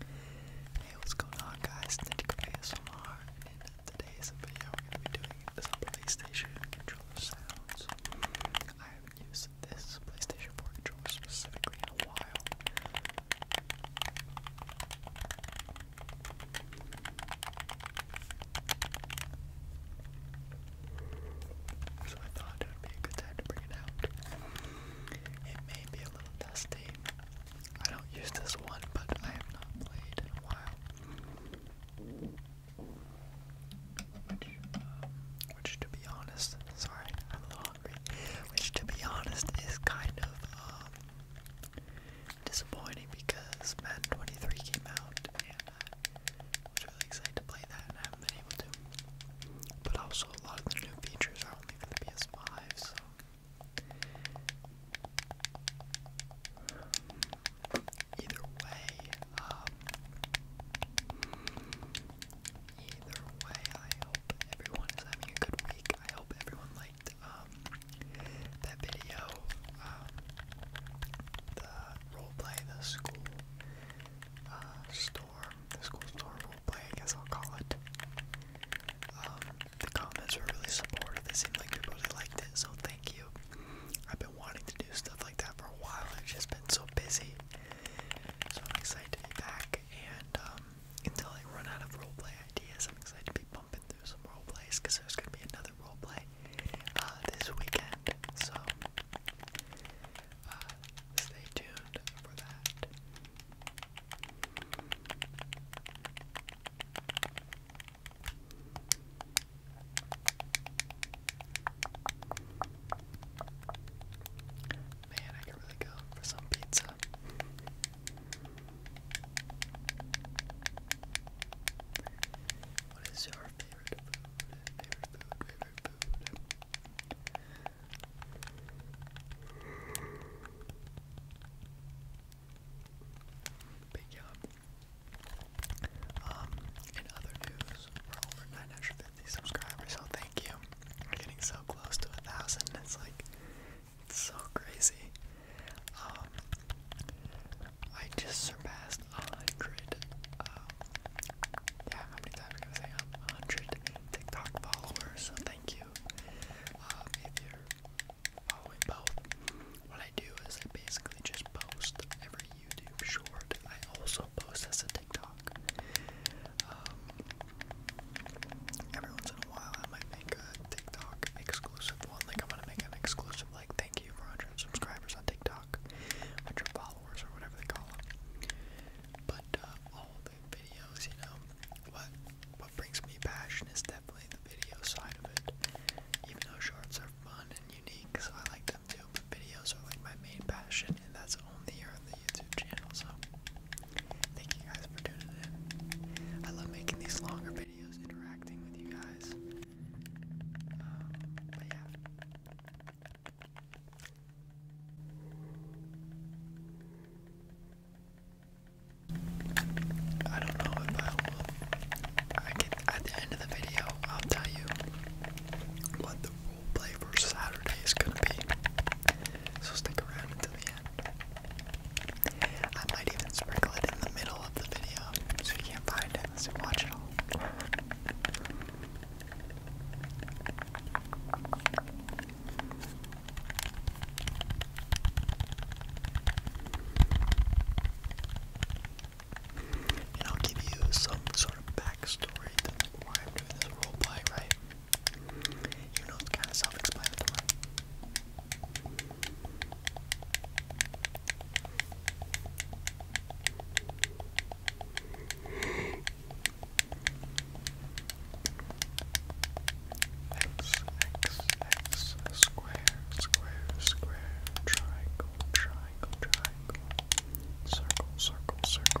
Hey, what's going on guys? Ninja ASMR and today's video we're going to be doing some PlayStation controller sounds. I haven't used this PlayStation 4 controller specifically in a while. So I thought it would be a good time to bring it out. It may be a little dusty. I don't use this one, but I have not played in a while. Which, um, to be honest, sorry, I'm hungry. Which, to be honest, is kind of um, disappointing because Madden 23 came out, and I was really excited to play that, and I haven't been able to. But also, a lot of the new features are only for the PS5, so Either way, um, either way, I hope everyone is having a good week. I hope everyone liked um that video, um, the roleplay, the school uh, storm, the school storm play, I guess I'll call it. Um, the comments were really supportive. It seemed like people really liked it, so thank you. I've been wanting to do stuff like that for a while. I've just been so busy. So I'm excited to be back, and um, until I run out of roleplay ideas, I'm excited to be bumping through some roleplays because there's going to be another roleplay uh, this weekend. So uh, stay tuned for that. Man, I could really go for some pizza. What is your favorite food? Favorite food, favorite food. Big job. Um, in other news, we're over 950 subscribers, so thank you. We're getting so close to a thousand. It's like it's so crazy. Um, I just surpassed a hundred. Um, yeah, how many times can I say a hundred TikTok followers? thank you video. Um, if you're both, what I do is I basically just post every YouTube short. I also post as a TikTok. Um, every once in a while, I might make a TikTok exclusive one. Like I'm gonna make an exclusive, like thank you for 100 subscribers on TikTok, 100 followers or whatever they call it. But uh, videos, you know. What what brings me passion is definitely the video side of it. Even though shorts are fun and unique, so I like them too, but videos are like my main passion and that's only on the YouTube channel, so thank you guys for tuning in. I love making these longer videos, interacting with you guys. Um, but yeah. I don't know if I will. at the end of the video, I'll tell you what the rule play for Saturday is gonna be. So stick around until the end. I might even sprinkle it in the middle of the video so you can't find it unless you watch it all. And I'll give you some sort of backstory to why I'm doing this roleplay, right? You know, it's kind of self explanatory. X, X, X, square, square, square, triangle, triangle, triangle, circle, circle, circle.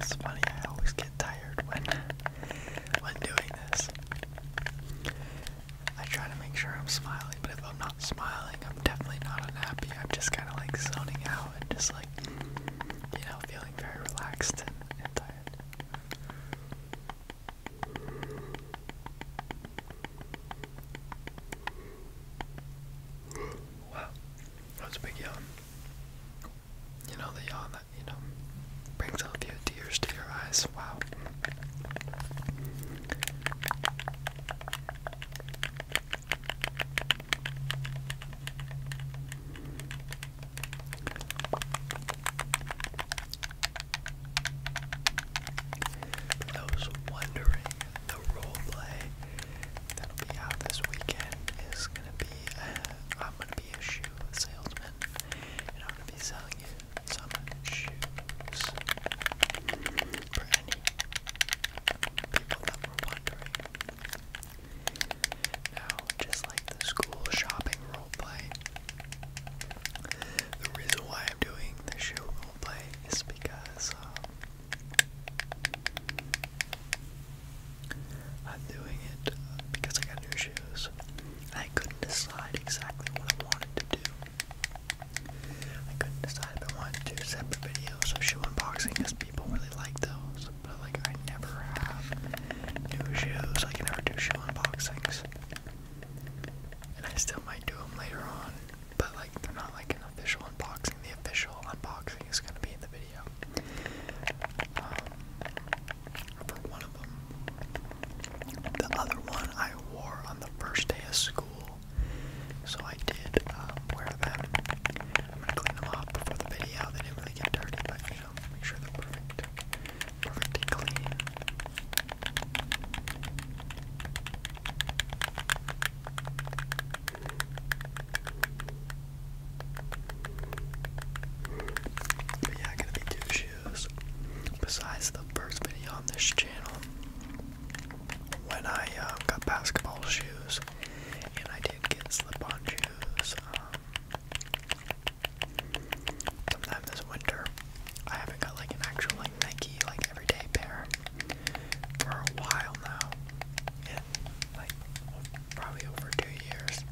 It's funny, I always get tired when when doing this. I try to make sure I'm smiling, but if I'm not smiling, I'm definitely not unhappy. I'm just kind of like zoning out and just like, you know, feeling very relaxed and, and tired. Wow, that's a big yawn. You know the yawn that you know brings all your tears to your eyes. Wow. I was wondering the role play that'll be out this weekend is gonna be a, uh, I'm gonna be a shoe salesman and I'm gonna be selling you some shoes for any people that were wondering. Now, just like the school shopping role play, the reason why I'm doing the shoe role play is because um, I'm doing it uh, because I got new shoes. I couldn't decide exactly what I wanted to do. I couldn't decide if I wanted to separate videos of shoe unboxing because people really like those. But like I never have new shoes. I can never do shoe unboxings. And I still might do them later on but like they're not like an official unboxing. The official unboxing is gonna be in the video um, for one of them. The other one I wore on the first day of school, so I did um, wear them. i clean them off before the video. They didn't really get dirty, but you know, make sure they're perfect, perfectly clean yeah, gonna be two shoes. Besides the first video on this channel, when I um, got basketball shoes, and I did get slip-on shoes. Um, sometime this winter, I haven't got like an actual like Nike like everyday pair for a while now in like probably over two years,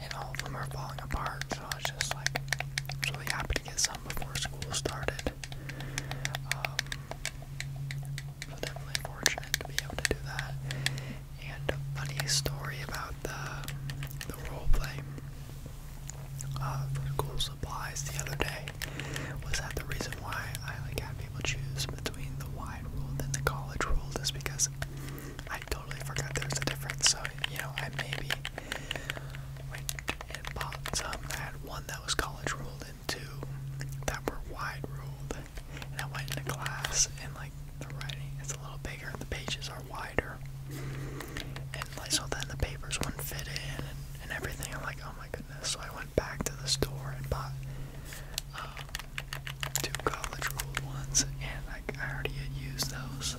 and all of them are falling apart. So I was just like, I was really happy to get some before school started. Um, so definitely fortunate to be able to do that. And a funny story about the the role play uh, for school supplies the other day was that the reason why I like had people choose between the wide rule and the college rule is because I totally forgot there was a difference. So, you know, I maybe went and bought some that had one that was college ruled and two that were wide ruled. And I went into class and, like, the writing is a little bigger, the pages are wider. And, like, so then the papers wouldn't fit in and, and everything. I'm like, oh my goodness. So I went back to the store and bought um, two college rolled ones, and I already had used those, so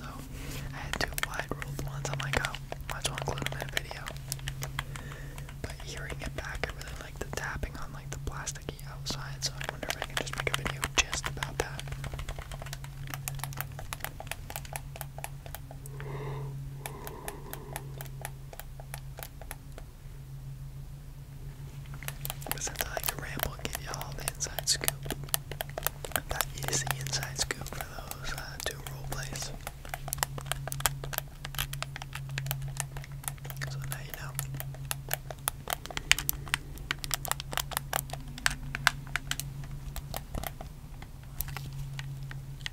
I had two wide rolled ones. I'm like, oh, might as well include them in a video. But hearing it back, I really like the tapping on like the plasticky outside, so I wonder if I can just make a video just about that. But I like to ramble give y'all the inside scoop, that is the inside scoop for those uh, two role plays. So now you know. You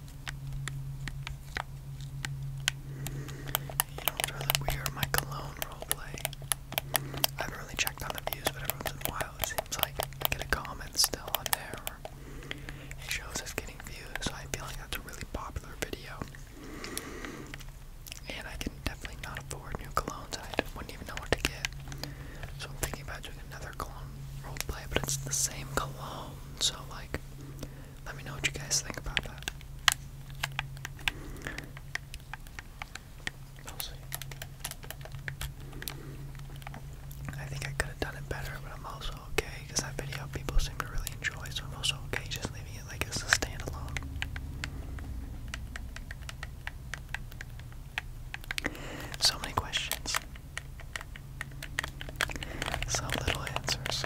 know, for the my cologne roleplay. I haven't really checked on the views, but every once in a while it seems like get a comment still on there it shows us getting views, so I feel like that's a really popular video. And I can definitely not afford new colognes and I wouldn't even know what to get. So I'm thinking about doing another cologne roleplay, but it's the same cologne, so like let me know what you guys think about that. I think I could have done it better, but I'm also okay because that video people seem to really enjoy, so I'm also okay just leaving it like as a standalone. So many questions. So little answers.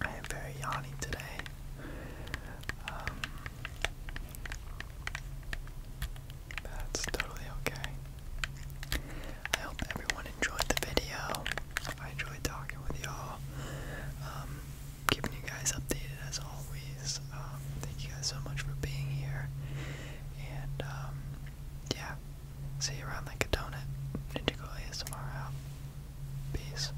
I am very yawny today. Um, that's totally okay. I hope everyone enjoyed the video. I enjoyed talking with y'all. Um, keeping you guys updated as always. Um, thank you guys so much for being here. And yeah, see you around like a donut. Ninja ASMR out. Peace.